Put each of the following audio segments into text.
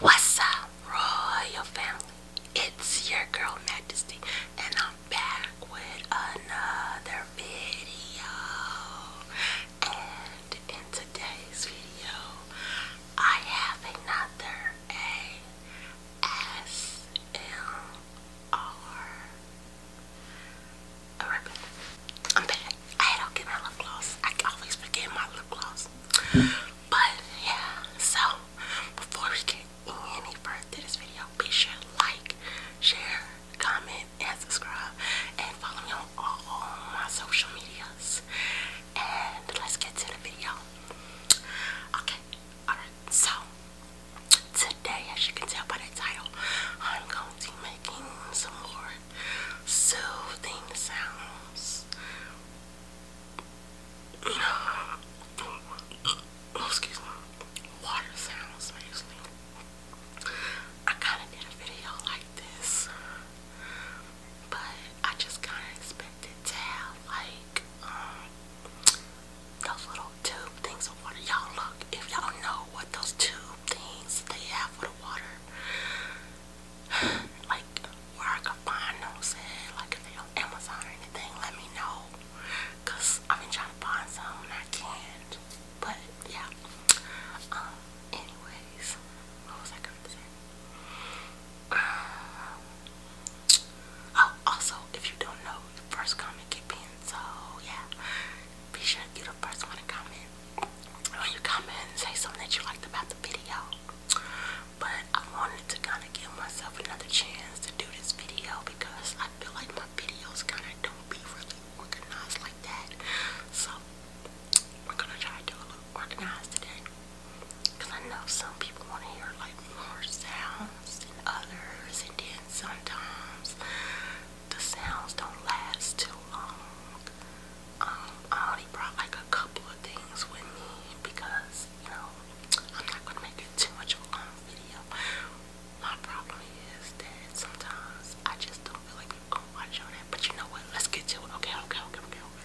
What's up, royal family? It's your girl Majesty, and I'm back with another video. And in today's video, I have another ASMR. Alright, I'm back. I had to get my lip gloss. I always forget my lip gloss. But yeah, so before we get any further to this video, be sure to like, share, comment, and subscribe, and follow me on all my social medias. And let's get to the video. Okay, alright, so today, as you can tell by the title, I'm going to be making some more soothing sounds. Oh, excuse me. Water sounds mostly. I kind of did a video like this, but I just kind of expected to have like um, those little tube things of water. Y'all look, if y'all know what those tube things they have for the water, like where I could find those like Amazon or anything, let me know. Cause I've been trying to find some and I can't. But yeah. Um, anyways, what was I gonna say? Um, oh, also, if you don't know, the first comment get pinned. So yeah, be sure to get the first one to comment or you comment and say something that you liked about the video. But I wanted to kind of give myself another chance to do this video because I feel like my videos kind of don't be really organized like that. So we're gonna try to do a little organized today. Cause I know some people want to hear like more sounds and others, and then sometimes the sounds don't last too long um, I only brought like a couple of things with me because, you know, I'm not gonna make it too much of a long video. My problem is that sometimes I just don't feel like people gonna watch on that. But you know what? Let's get to it. Okay, okay, okay, okay, okay.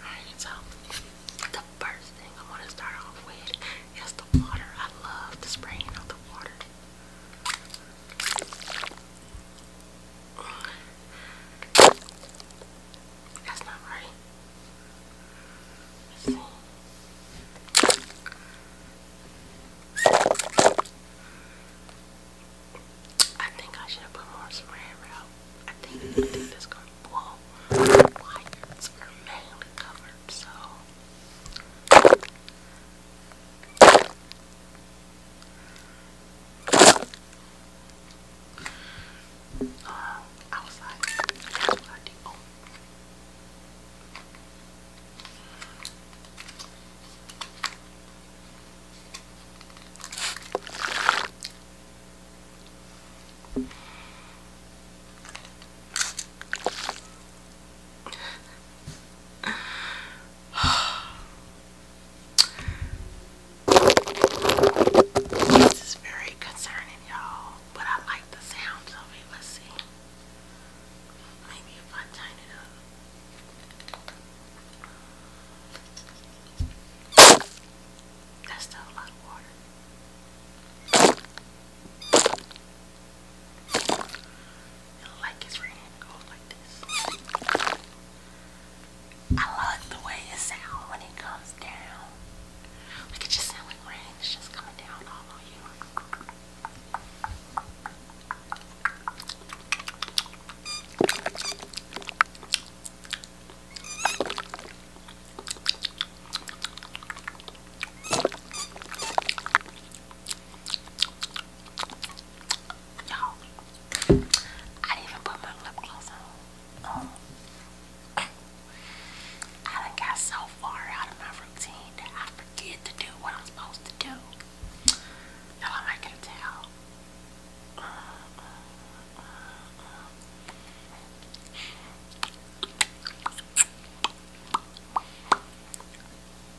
Alright, so the first thing I wanna start off with is the water. I love the spraying of the water. That's not right. I think I should have put more spray wrap. I think I think that's gonna blow so uh, outside that's what this is very concerning, y'all, but I like the sounds of it. Let's see. Maybe if I turn it up. That's still a lot of water like it's red, it like this. I love the way it sounds when it comes down. Look, it just sounds like rain. It's just coming down all on you. Y'all, I didn't even put my lip gloss on. Oh. I got so far out of my routine that I forget to do what I'm supposed to do. you I might can tell. Mm,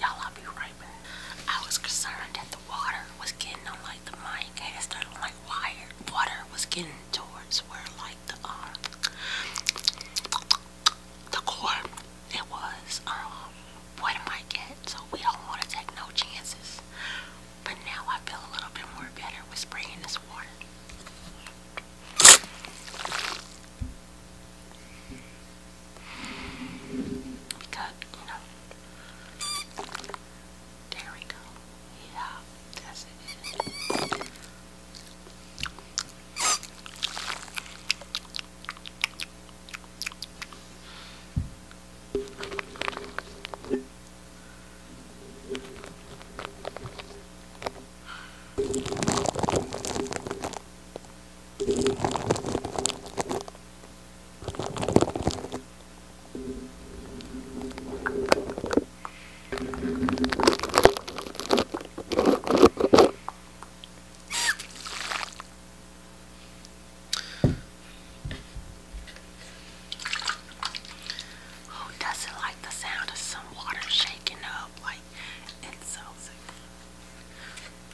Y'all, I'll be right back. I was concerned that the water was getting on like the mine cast started like wired. Water was getting towards where like the um the core it was um what am I getting? So we don't want to take no chances. But now I feel a little bit more better with spraying this water. We got, you know. There we go. Yeah, that's it. Who doesn't like the sound of some water shaking up like it sounds like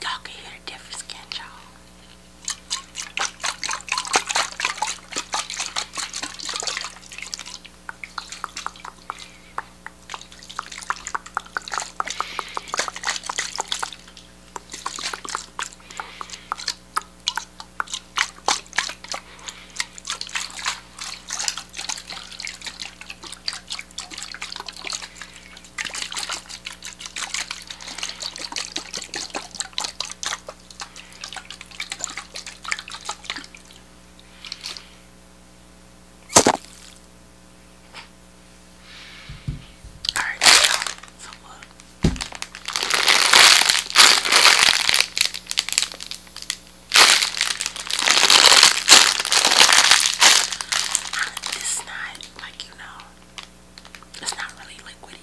Y'all can hear the difference, can you Alright, so, so look. It's not like you know, it's not really liquidy,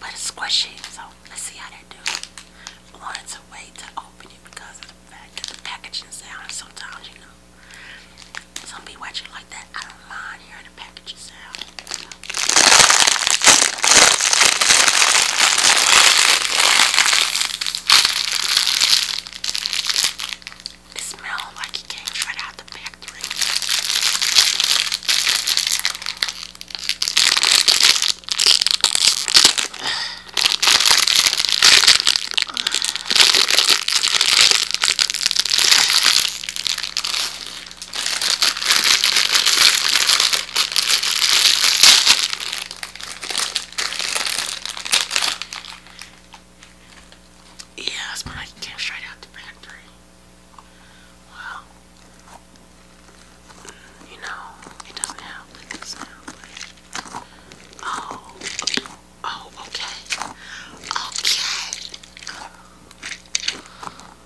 but it's squishy. So let's see how they do. I wanted to open it because of the fact that the packaging sound. Sometimes you know, some people watch like that. I don't mind hearing try to out. It smells like it came right out the factory. Yeah, it's when came straight out the factory. Well, you know, it doesn't have Oh, oh, okay, okay. I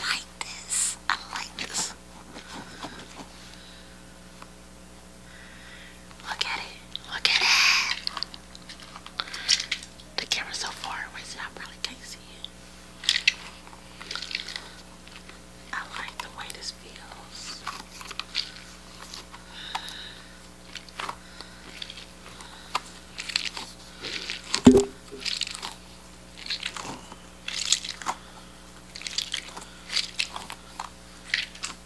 like this. I like this. Look at it. Look at it. The camera's so far away, so I probably can't see it. I like the way this feels.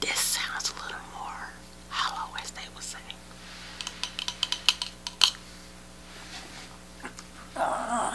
This sounds a little more hollow, as they would say. Uh.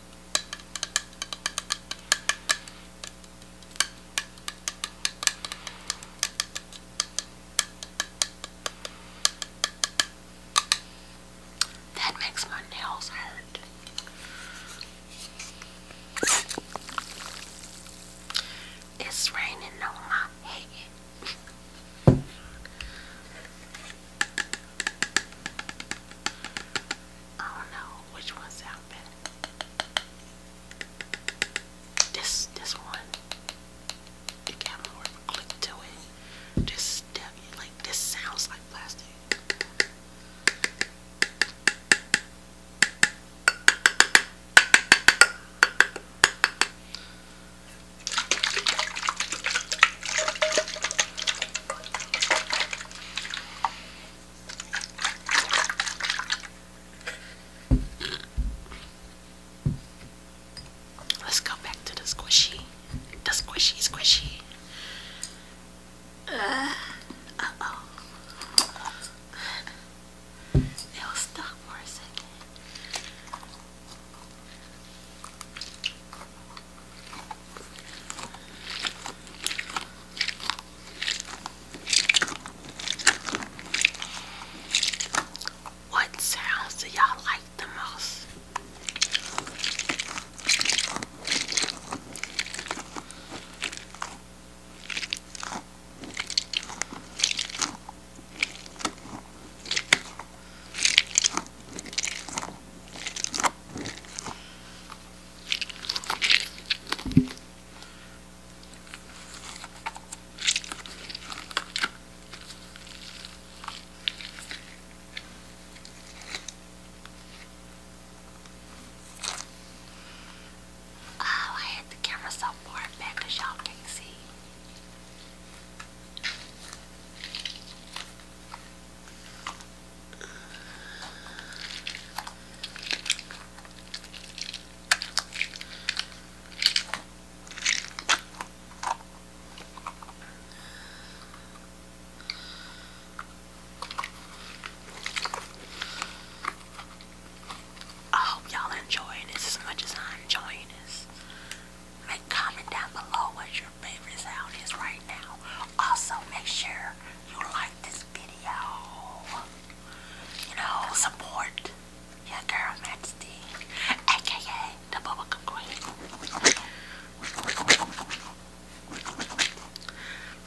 That makes my nails hurt. It's raining on my head. I don't know which one sound better. This this one. You can more of a click to it. this sounds like plastic. Let's go back to the squishy. The squishy, squishy. Uh, oh. It was stuck for a second. What sounds do y'all like the most? Oh, I had the camera so far back y'all can see. I hope y'all enjoying this as much as I'm enjoying this. Make comment down below what your your favorite sound is right now. Also, make sure you like this video. You know, support your girl Majesty, aka the Bubblegum Queen.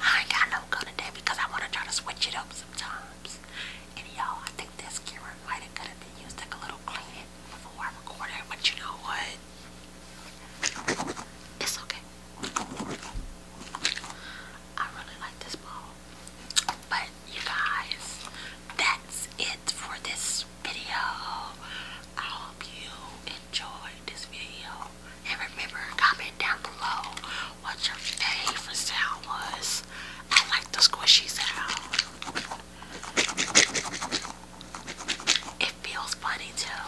I ain't got no gun today because I want to try to switch it up sometimes. And y'all, I think this camera might have could have been used like a little cleaning before I recorded, but you know what? It's okay. I really like this ball. But you guys, that's it for this video. I hope you enjoyed this video. And remember, comment down below what your favorite sound was. I like the squishy sound it feels funny too.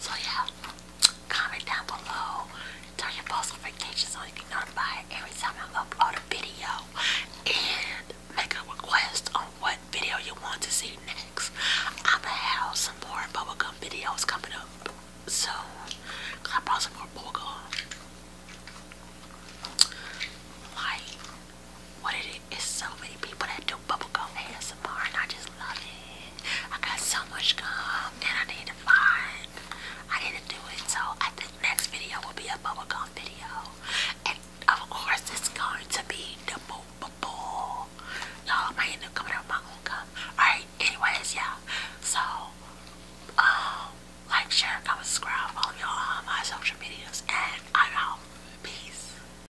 So yeah, comment down below. Turn your post notifications so you can notify every time I upload a video and make a request on what video you want to see next. I'm gonna have some more bubblegum videos coming up soon. I brought some more bubblegum. Like, what it is. so many people that do bubble gum and I just love it. I got so much gum and I need to find, I need to do it. So I think next video will be a bubble gum video. And of course it's going to be the bubble. Y'all might end up coming out with my own gum. Alright, anyways, yeah. So, um, like, share, comment, subscribe, follow me on all my social medias and I'm out. Peace.